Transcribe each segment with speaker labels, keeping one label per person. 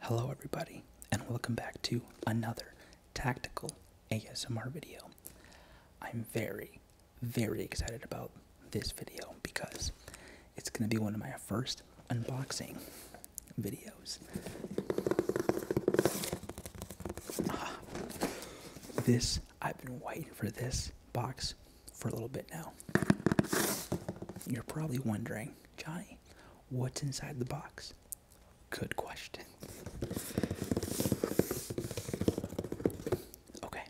Speaker 1: Hello, everybody, and welcome back to another tactical ASMR video. I'm very, very excited about this video because it's going to be one of my first unboxing videos. Ah, this, I've been waiting for this box for a little bit now. You're probably wondering, Johnny, What's inside the box? Good question. Okay,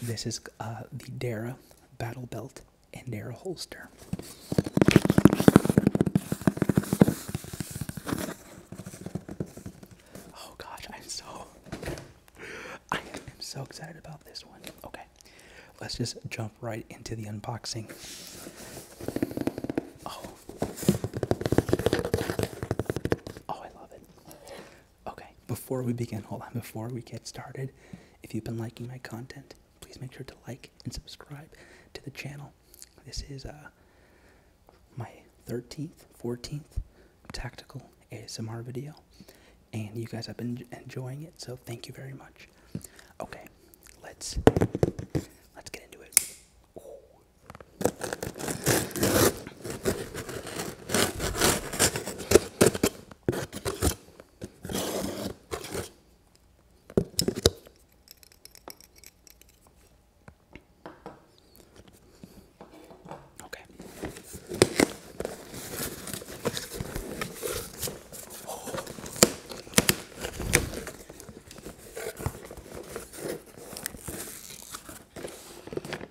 Speaker 1: this is uh, the Dara Battle Belt and Dara Holster. Oh gosh, I'm so I am so excited about this one. Okay let's just jump right into the unboxing. Oh, oh, I love it. Okay, before we begin, hold on, before we get started, if you've been liking my content, please make sure to like and subscribe to the channel. This is uh, my 13th, 14th tactical ASMR video, and you guys have been enjoying it, so thank you very much. Okay, let's let's get into it. Okay.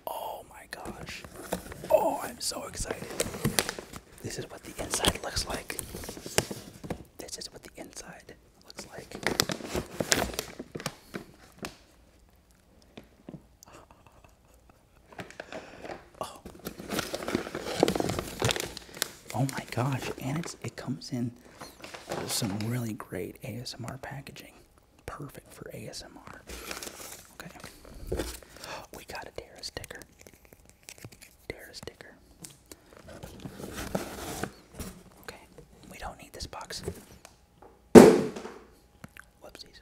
Speaker 1: Oh my gosh. Oh, I'm so excited. This is what the inside looks like. This is what the inside looks like. Oh. Oh my gosh, and it's it comes in some really great ASMR packaging. Perfect for ASMR. Okay. We got a Dara sticker. Dara sticker. Okay. We don't need this box. Whoopsies.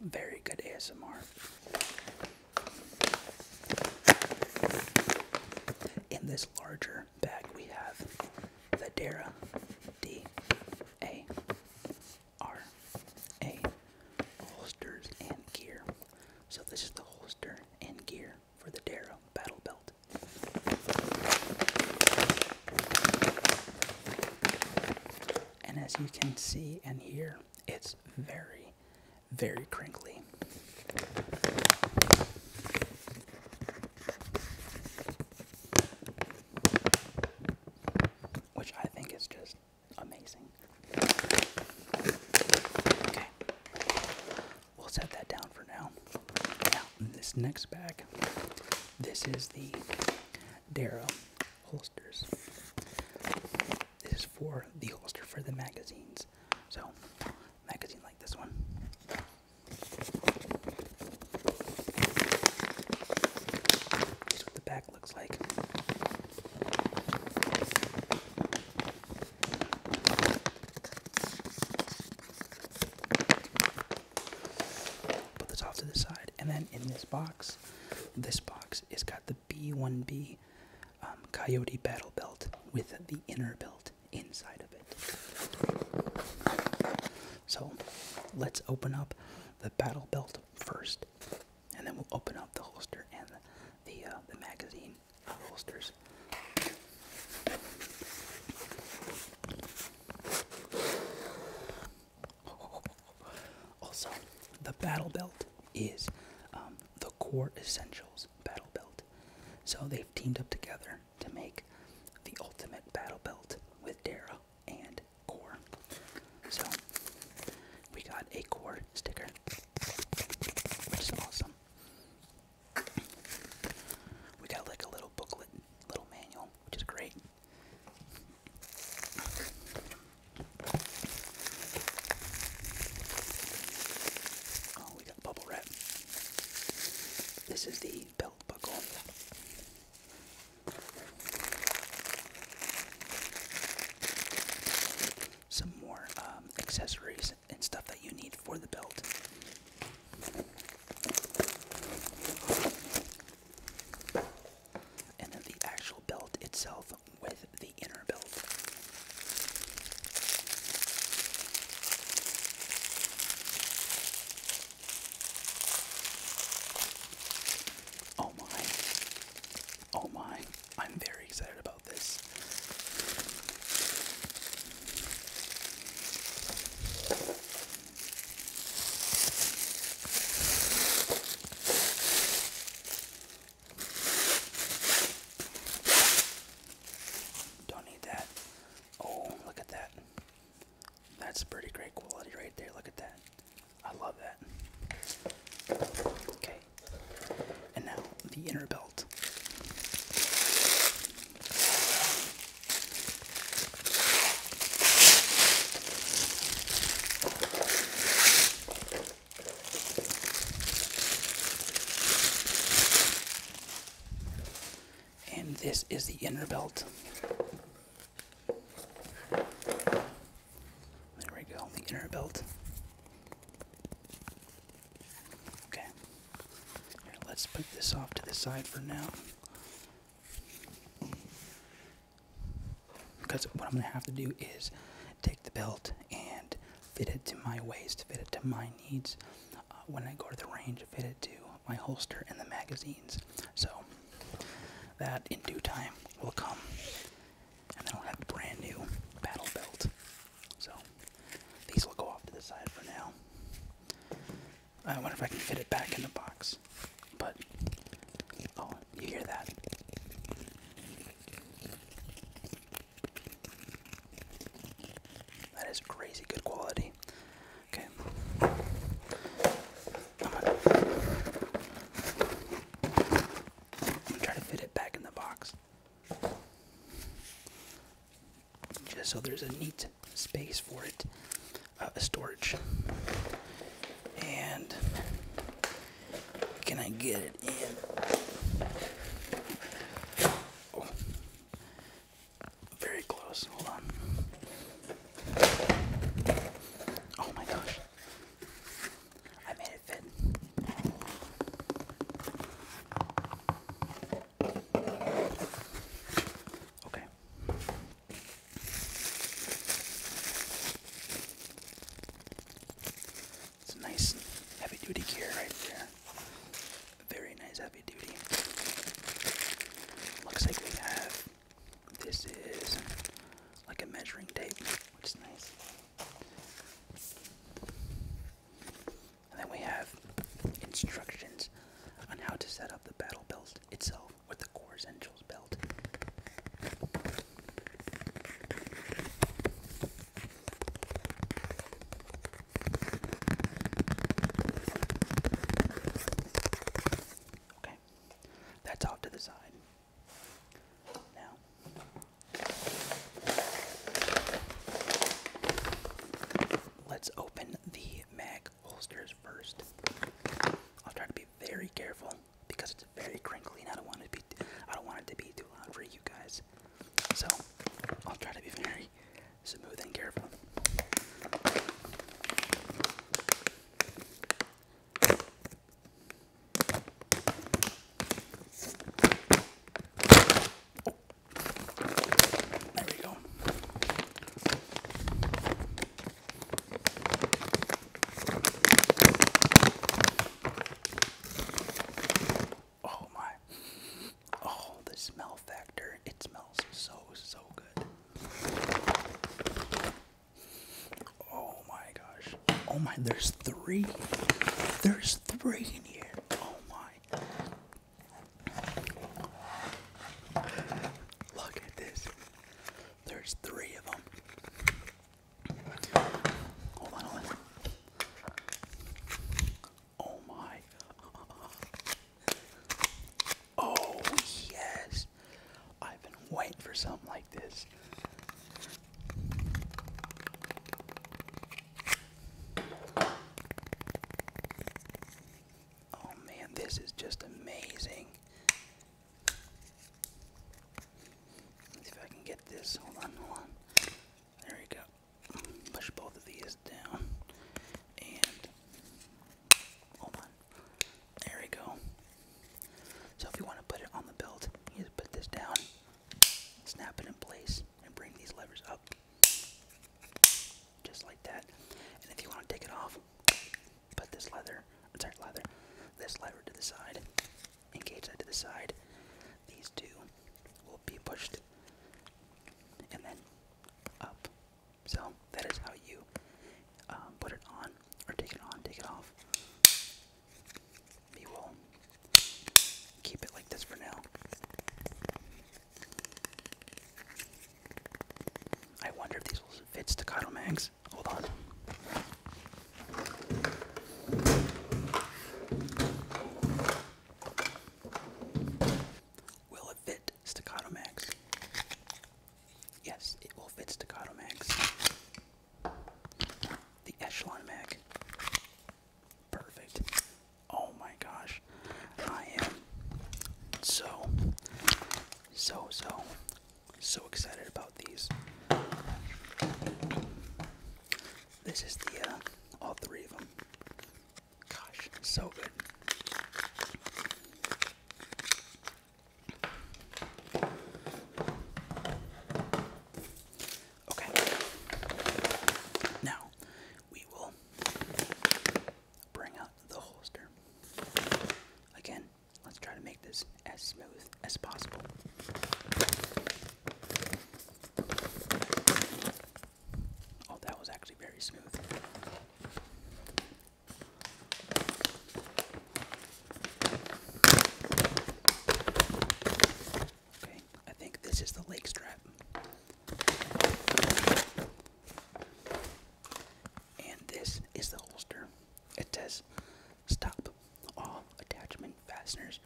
Speaker 1: Very good ASMR. In this larger bag, we have the Dara D A R A holsters and gear. So, this is the holster and gear for the Dara Battle Belt. And as you can see and hear, it's very, very crinkly. Which I think is just amazing. Okay. We'll set that down for now. Now, this next bag, this is the Darrow holsters. This is for the holster for the magazines. So, magazine like this one. Here's what the back looks like. Put this off to the side. And then in this box, this box is got the B1B um, Coyote Battle Belt with the inner belt inside of it. So let's open up the battle belt first, and then we'll open up the holster and the, the, uh, the magazine holsters. Also, the Battle Belt is um, the Core Essentials Battle Belt. So they've teamed up together to make the ultimate Battle Belt with Dara and Core. So we got a Core sticker, which is awesome. We got like a little booklet little manual, which is great. Oh, we got bubble wrap. This is the belt buckle. Some more um, accessories and stuff that you need for the belt. And then the actual belt itself with the inner belt. Oh my. Oh my. I'm very excited about this. Don't need that. Oh, look at that. That's pretty great quality right there. Look at that. I love that. Okay. And now the inner belt. And this is the inner belt. There we go, the inner belt. Okay. let's put this off to the side for now. Because what I'm going to have to do is take the belt and fit it to my waist, fit it to my needs. Uh, when I go to the range, fit it to my holster and the magazines. So that in due time will come. And I'll have a brand new battle belt. So these will go off to the side for now. I wonder if I can fit it back in the box. But oh, you hear that? That is crazy good quality. Okay. I'm gonna, try to fit it back in the box just so there's a neat space for it, uh, a storage. And can I get it in? Oh, very close. Hold on. Oh my gosh. I made it fit. Okay. It's nice heavy duty gear right there. Very nice heavy duty. Looks like we have this is like a measuring tape, which is nice. And then we have instructions on how to set up the battle belt itself with the core essentials belt. Okay, that's off to the side. Now, let's open the the mag holsters first. I'll try to be very careful because it's very crinkly and I don't want it to be I don't want it to be too loud for you guys. So I'll try to be very smooth and careful. There we go. Oh my. Oh, the smell factor. It smells so, so good. Oh my gosh. Oh my, there's three. There's three in here. Oh my. Look at this. There's three of them. Hold on, hold on. Oh my. Oh yes. I've been waiting for something like this. Oh man, this is just amazing. if I can get this. Hold on, There we go. Push both of these down. And hold on. There we go. So if you want to put it on the belt, you just put this down, snap it in place, and bring these levers up just like that. And if you want to take it off, put this leather, sorry, leather, this leather to the side, engage that to the side. These two will be pushed and then up. So that is how you um, put it on, or take it on, take it off. We will keep it like this for now. I wonder if these will fit staccato Max. Hold on. Will it fit staccato mags? Yes, it will fit staccato mags. The echelon mag. Perfect. Oh my gosh. I am so, so, so, so excited about these. This is the, uh, all three of them. Gosh, so good. Okay. Now, we will bring out the holster. Again, let's try to make this as smooth as possible. Oh, that was actually very smooth. Okay, I think this is the lake strap. And this is the holster. It says, Stop. All attachment fasteners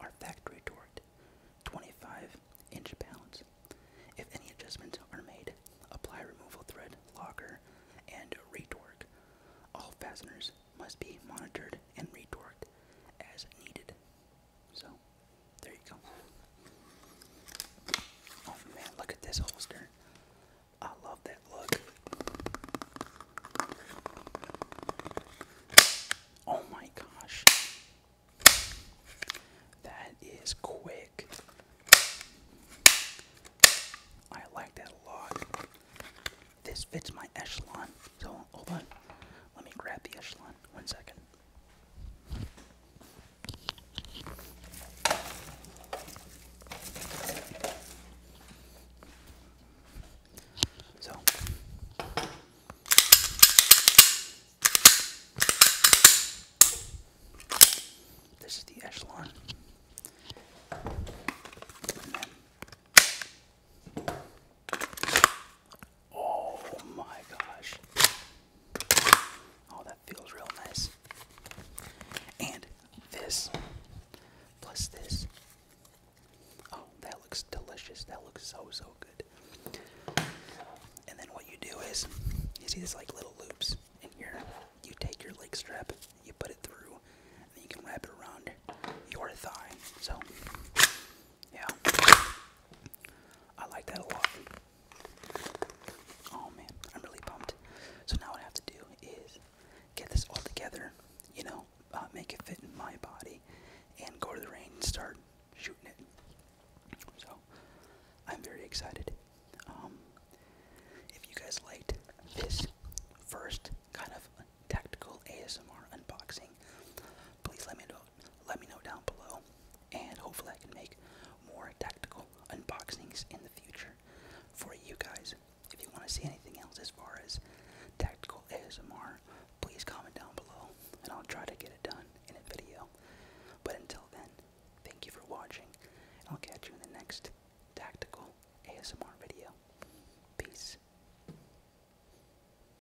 Speaker 1: are factory torqued, 25 inch pounds. If any adjustments are made, apply removal thread, locker, and retorque. All fasteners must be monitored and retorqued as needed. So, there you go. Oh man, look at this holster. I love that look. Oh my gosh. That is quick. I like that a lot. This fits my echelon. So, hold on. Let me grab the echelon. One second. So this is the echelon. And then Oh my gosh. Oh, that feels real nice. And this, plus this. Oh, that looks delicious. That looks so, so good. And then what you do is, you see this like little loops in here. You take your leg strap, you put it through, and then you can wrap it around your thigh. So, yeah. I like that a lot. Oh man, I'm really pumped. So now what I have to do is get this all together, you know, uh, make it fit in my body, and go to the range and start shooting it. So I'm very excited. Um, if you guys liked this first kind of tactical ASMR unboxing, please let me know let me know down below. And hopefully, I can make more tactical unboxings in the future for you guys. If you want to see anything else as far as tactical ASMR, please comment down below and I'll try to get it done in a video. But until then, thank you for watching, and I'll catch you in the next tactical ASMR video. Peace.